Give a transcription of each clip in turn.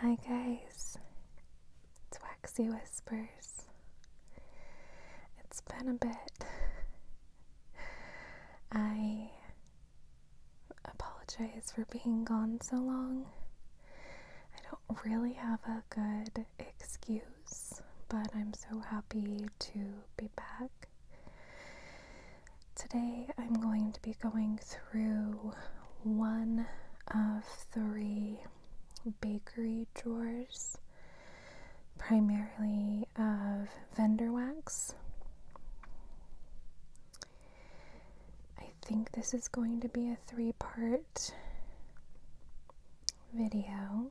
Hi guys, it's Waxy Whispers. It's been a bit. I apologize for being gone so long. I don't really have a good excuse, but I'm so happy to be back Today I'm going to be going through one of three bakery drawers, primarily of vendor wax. I think this is going to be a three part video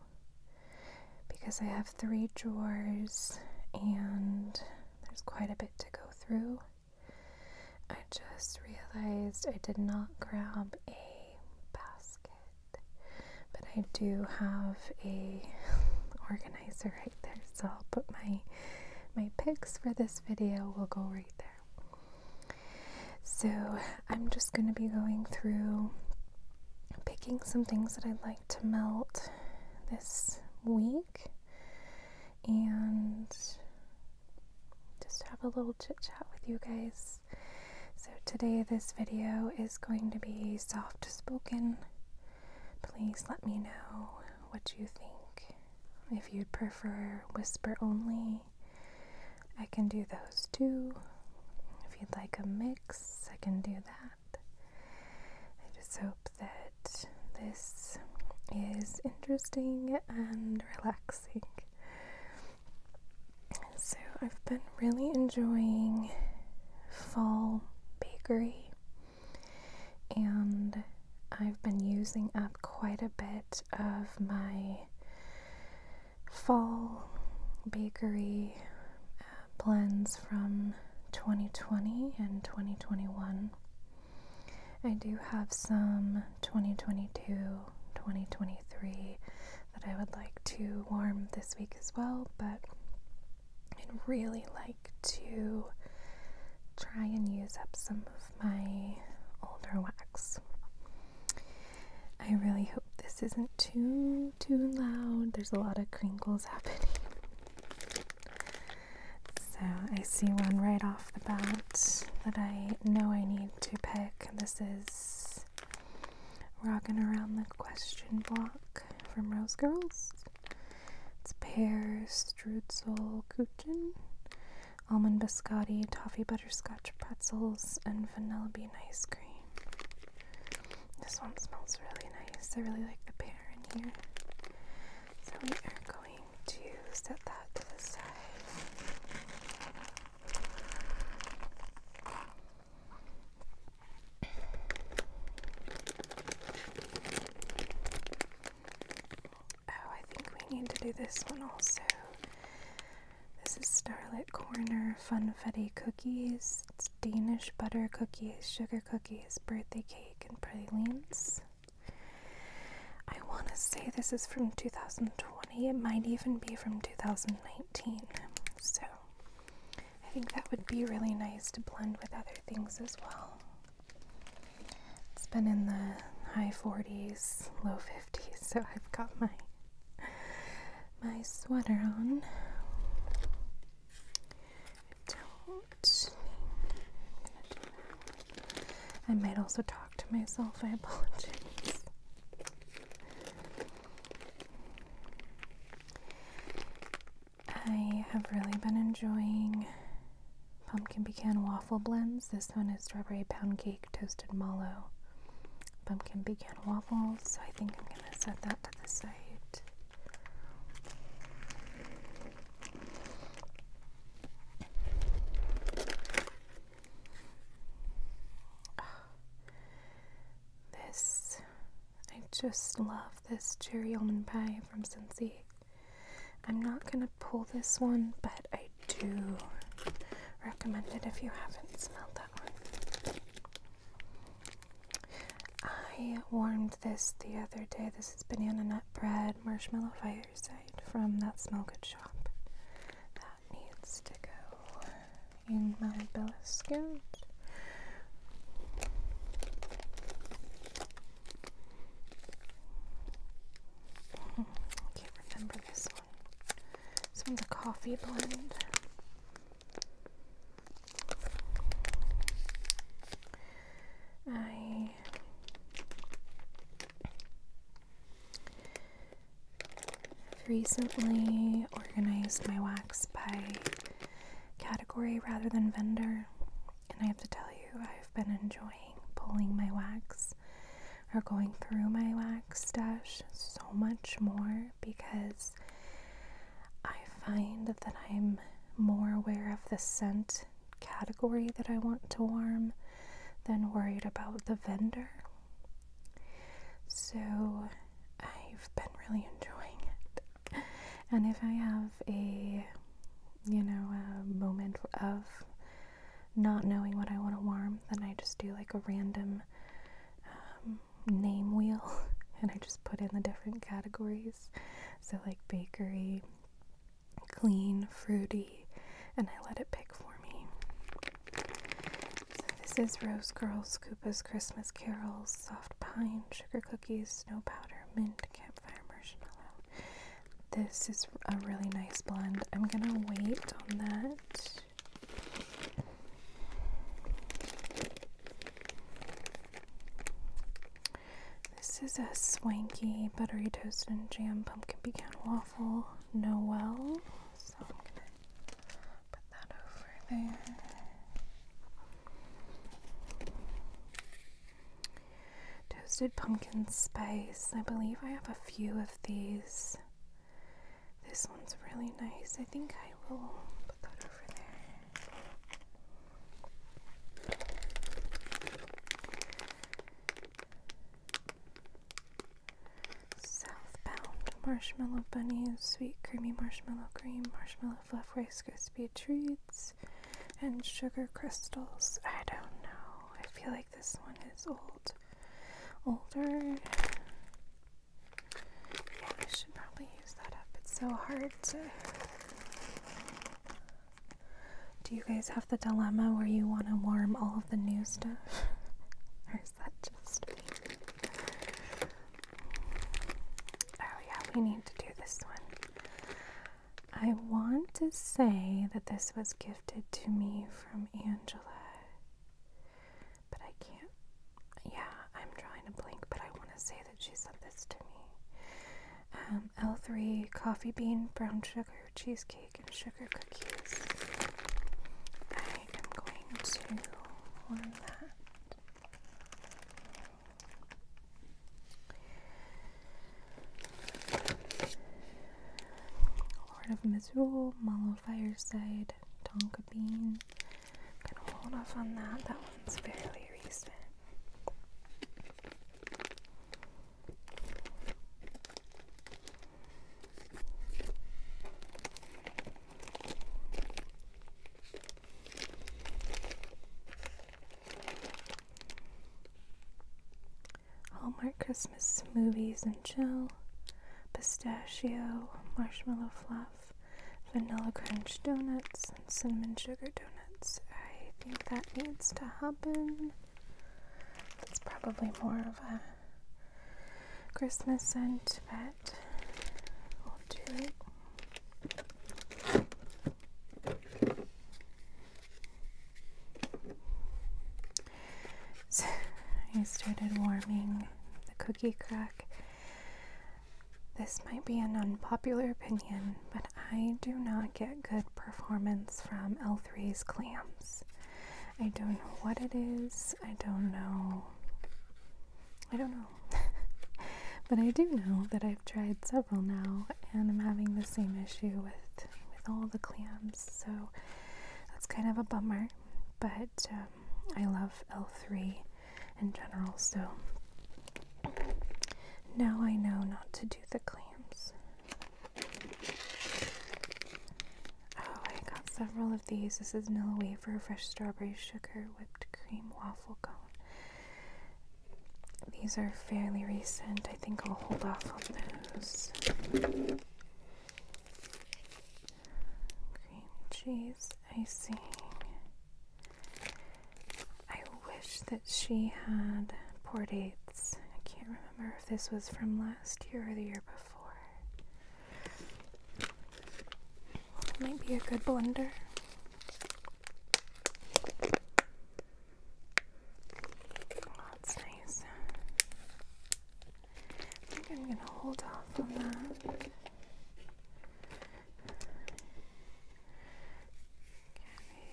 because I have three drawers and there's quite a bit to go through. I just realized I did not grab a basket, but I do have a organizer right there, so I'll put my my picks for this video will go right there. So I'm just going to be going through picking some things that I'd like to melt this week and just have a little chit chat with you guys. So, today this video is going to be soft spoken. Please let me know what you think. If you'd prefer whisper only, I can do those too. If you'd like a mix, I can do that. I just hope that this is interesting and relaxing. So, I've been really enjoying fall bakery, and I've been using up quite a bit of my fall bakery blends from 2020 and 2021. I do have some 2022, 2023 that I would like to warm this week as well, but I'd really like to try and use up some of my older wax. I really hope this isn't too, too loud. There's a lot of crinkles happening. So I see one right off the bat that I know I need to pick. This is "Rocking Around the Question Block from Rose Girls. It's pear, strudel, kuchen, almond biscotti, toffee butterscotch pretzels, and vanilla bean ice cream. This one smells really nice. I really like the pear in here. So we are going to set that to the side. Oh, I think we need to do this one also. This is Starlit Corner Funfetti Cookies. It's Danish butter cookies, sugar cookies birthday cake, and pralines. I want to say this is from 2020. It might even be from 2019. So I think that would be really nice to blend with other things as well. It's been in the high 40s, low 50s, so I've got my my sweater on. I might also talk to myself. I apologize. I have really been enjoying pumpkin pecan waffle blends. This one is strawberry pound cake, toasted mallow, pumpkin pecan waffles. So I think I'm going to set that to the side. Oh, this, I just love this cherry almond pie from Scentsy. I'm not gonna pull this one, but I do recommend it if you haven't smelled that one. I warmed this the other day. This is banana nut bread marshmallow fireside from that smell good shop. That needs to go in my basket. I can't remember this one. This one's a coffee blend. I recently organized my wax by category rather than vendor, and I have to tell you, I've been enjoying pulling my wax or going through my wax stash so much more because I find that I'm more aware of the scent category that I want to warm than worried about the vendor. So I've been really enjoying it. And if I have a, you know, a moment of not knowing what I want to warm, then I just do like a random um, name wheel and I just put in the different categories. So, like bakery, clean, fruity, and I let it pick for me. So, this is Rose Girls, Koopa's Christmas Carols, Soft Pine, Sugar Cookies, Snow Powder, Mint, Campfire Marshmallow. This is a really nice blend. I'm gonna wait on that. This is a swanky buttery toast and jam pumpkin pecan waffle Noel. So I'm gonna put that over there. Toasted pumpkin spice. I believe I have a few of these. This one's really nice. I think I will put that over there. Southbound marshmallow bunnies, sweet creamy marshmallow cream, marshmallow fluff, rice crispy treats, and sugar crystals. I don't know. I feel like this one is old, older. Yeah, I should probably use that up. It's so hard Do you guys have the dilemma where you want to warm all of the new stuff? or is that just me? Oh, yeah, we need to do this one. I want to say that this was gifted to me from Angela. But I can't. Yeah, I'm trying to blink, but I want to say that she sent this to me. Um, L3 coffee bean, brown sugar, cheesecake, and sugar cookies. I am going to warm that. Lord of Misrule, Mallow Fireside, Tonka Bean. I'm gonna hold off on that. That one's fairly recent. Hallmark Christmas movies and chill, pistachio, marshmallow fluff, vanilla crunch donuts and cinnamon sugar donuts. I think that needs to happen. It's probably more of a Christmas scent, but we'll do it. So I started warming the cookie crack this might be an unpopular opinion, but I do not get good performance from L3's clams. I don't know what it is. I don't know. I don't know. but I do know that I've tried several now and I'm having the same issue with with all the clams. So that's kind of a bummer. But uh, I love L3 in general, so now I know not to do the clamps. Oh, I got several of these. This is vanilla wafer, fresh strawberry sugar, whipped cream, waffle cone. These are fairly recent. I think I'll hold off on those. Cream cheese icing. I wish that she had port dates. I can't remember if this was from last year or the year before. Might be a good blender. that's oh, nice. I think I'm gonna hold off on that.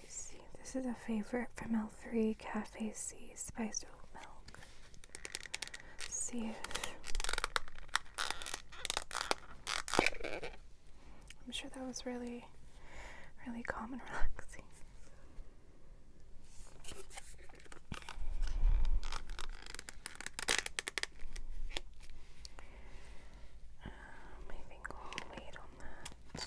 This is a favorite from L3 Cafe C spiced oat milk. see I'm sure that was really, really calm and relaxing. Um, I think we'll wait on that.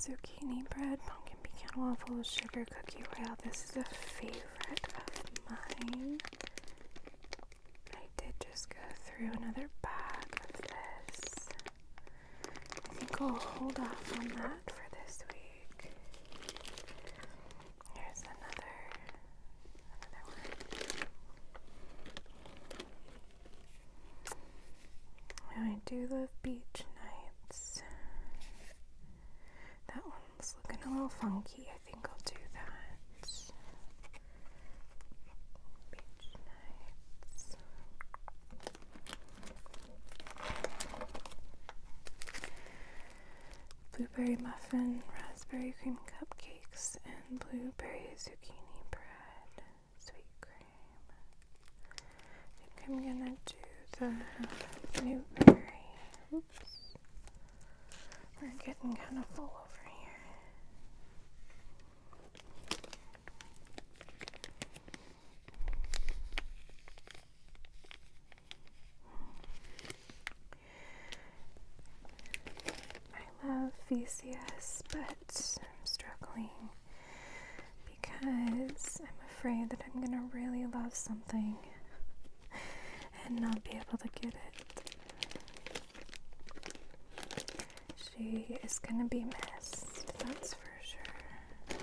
Zucchini bread, pumpkin pecan waffles, sugar cookie royale. This is a favorite of mine. I did just go through another bag of this. I think I'll hold off on that for this week. Here's another another one. I do love beach nights. That one's looking a little funky. I think I'll do that. Beach nights blueberry muffin, raspberry cream cupcakes, and blueberry zucchini bread, sweet cream. I think I'm gonna do the blueberry. Oops. We're getting kind of full over here. I love VCS, but I'm struggling because I'm afraid that I'm gonna really love something and not be able to get it. She is gonna be missed, that's for sure.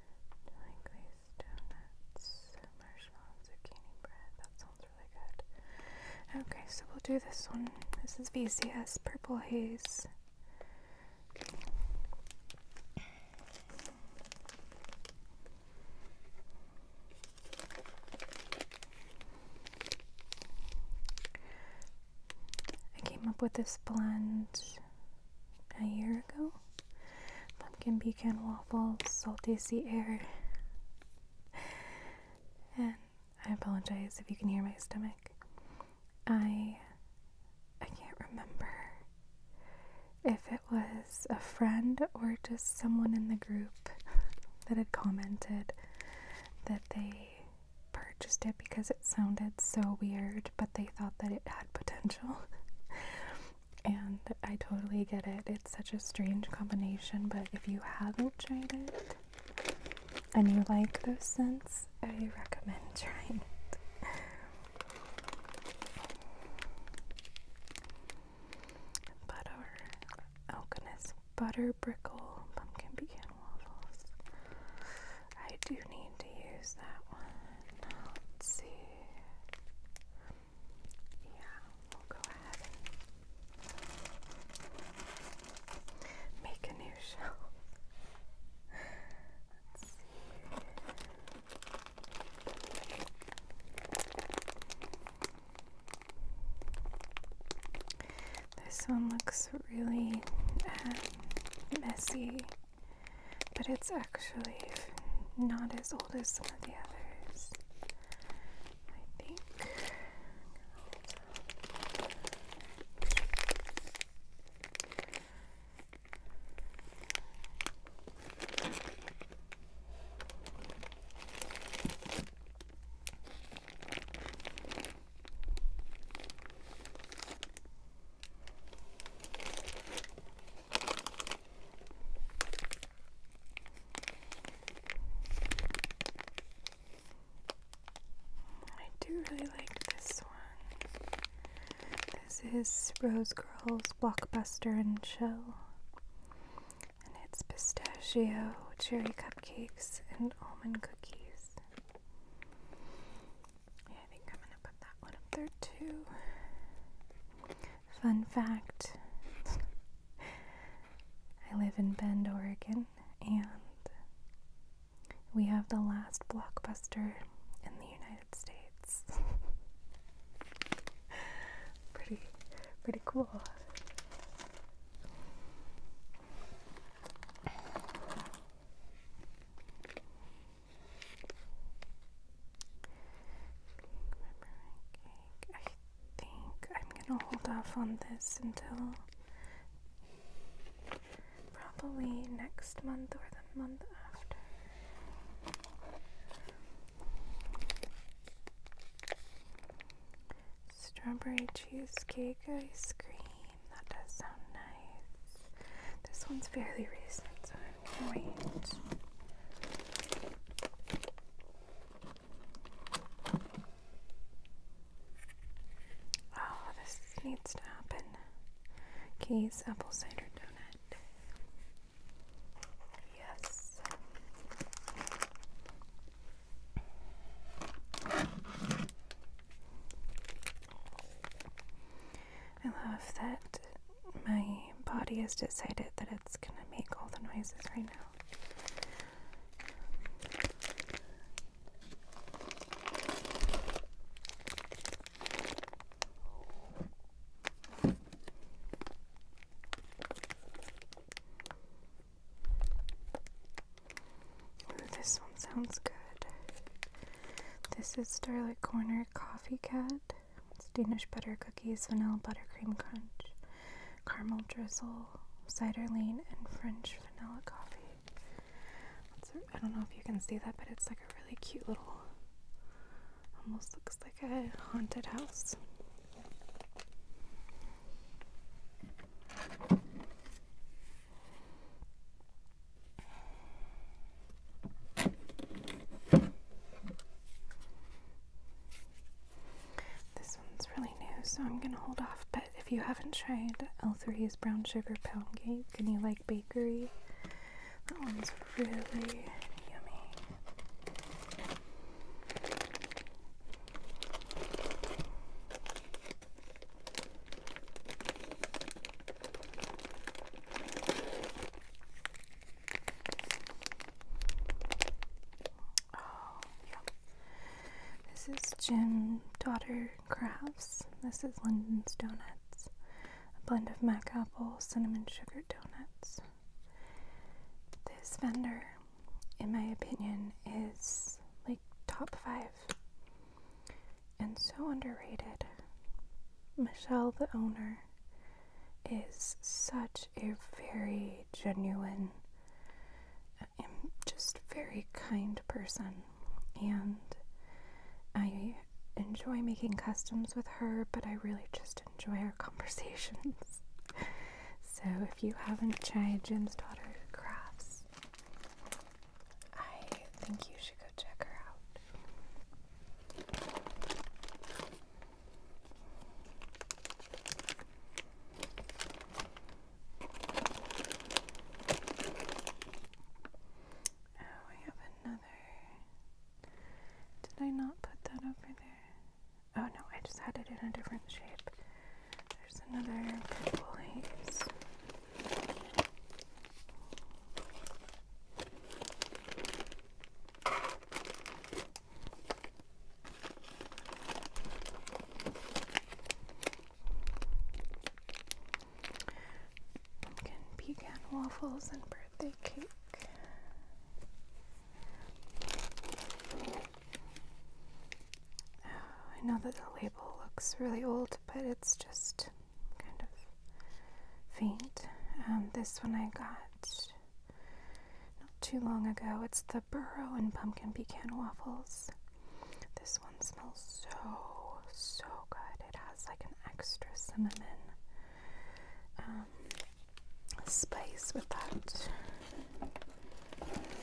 Chili glaze donuts, marshmallow, zucchini bread. That sounds really good. Okay, so we'll do this one. This is VCS Purple Haze. I came up with this blend a year ago pumpkin pecan waffles, salty sea air. And I apologize if you can hear my stomach. I I can't remember if it was a friend or just someone in the group that had commented that they purchased it because it it sounded so weird, but they thought that it had potential. and I totally get it. It's such a strange combination, but if you haven't tried it and you like those scents, I recommend trying it. Butter. Oh goodness. Butter brickle pumpkin pecan waffles. I do need to use that one. Let's see. Yeah, we'll go ahead and make a new shelf. Let's see. This one looks really uh, messy but it's actually not as old as some of the others. I think. I do really like this one. This is Rose Girls Blockbuster and Chill. And it's pistachio, cherry cupcakes, and almond cookies. Yeah, I think I'm gonna put that one up there too. Fun fact I live in Bend, Oregon, and we have the last blockbuster in the United States. pretty, pretty cool. Cake. I think I'm gonna hold off on this until probably next month or the month after. Strawberry cheesecake ice cream. That does sound nice. This one's fairly recent, so I can wait. Oh, this needs to happen. Keys apple cider donut. Yes. I love that my body has decided that it's going to make all the noises right now. this one sounds good. This is Starlight Corner Coffee Cat. It's Danish butter cookies, vanilla buttercream crunch, caramel drizzle, cider lean, and French vanilla coffee. I don't know if you can see that, but it's like a really cute little, almost looks like a haunted house. This one's really new, so I'm gonna hold off. But if you haven't tried L3's brown sugar pound cake and you like bakery, that one's really yummy. Oh, yeah. This is Jim Daughter Crafts. This is Linden's Donuts. A blend of mac apple, cinnamon sugar donuts. This vendor, in my opinion, is like top five and so underrated. Michelle, the owner, is such a very genuine and um, just very kind person. And I enjoy making customs with her, but I really just enjoy our conversations. so if you haven't tried Jim's Daughter Crafts, I think you should go check her out. Oh, I have another. Did I not put that over there? Oh no, I just had it in a different shape. There's another purple haze. Pumpkin pecan waffles and birthday cake. Oh, I know that the label looks really old, but it's just kind of faint. Um, this one I got not too long ago. It's the Burrow and Pumpkin Pecan Waffles. This one smells so, so good. It has like an extra cinnamon um, spice with that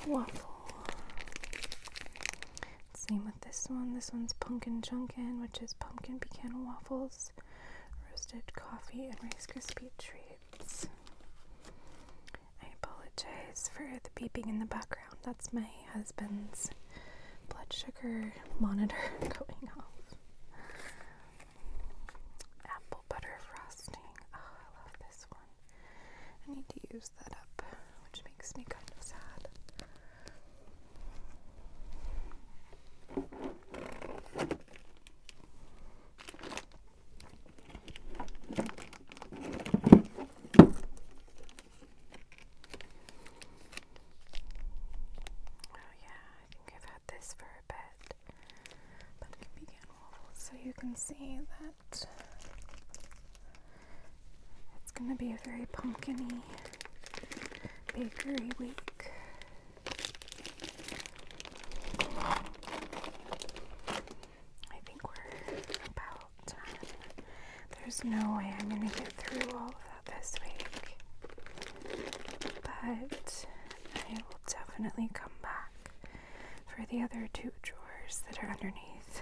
waffle. Same with this one. This one's Pumpkin junkin, which is pumpkin pecan waffles, roasted coffee, and Rice Krispie treats. I apologize for the beeping in the background. That's my husband's blood sugar monitor going off. Apple butter frosting. Oh, I love this one. I need to use that up, which makes me kind of sad. Oh, yeah, I think I've had this for a bit, but it can be getting So you can see that it's going to be a very pumpkiny bakery week. I think we're about done. There's no way I'm going to get through all of that this week. But I will definitely come back for the other two drawers that are underneath.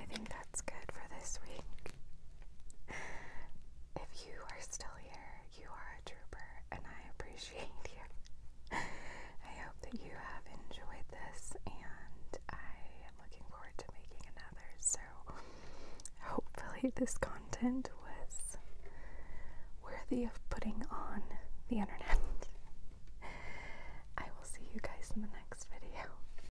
I think that's good for this week. If you are still here, you are a trooper, and I appreciate you. I hope that you have enjoyed this, and I am looking forward to making another. So, hopefully, this content was worthy of putting on the internet. I will see you guys in the next video.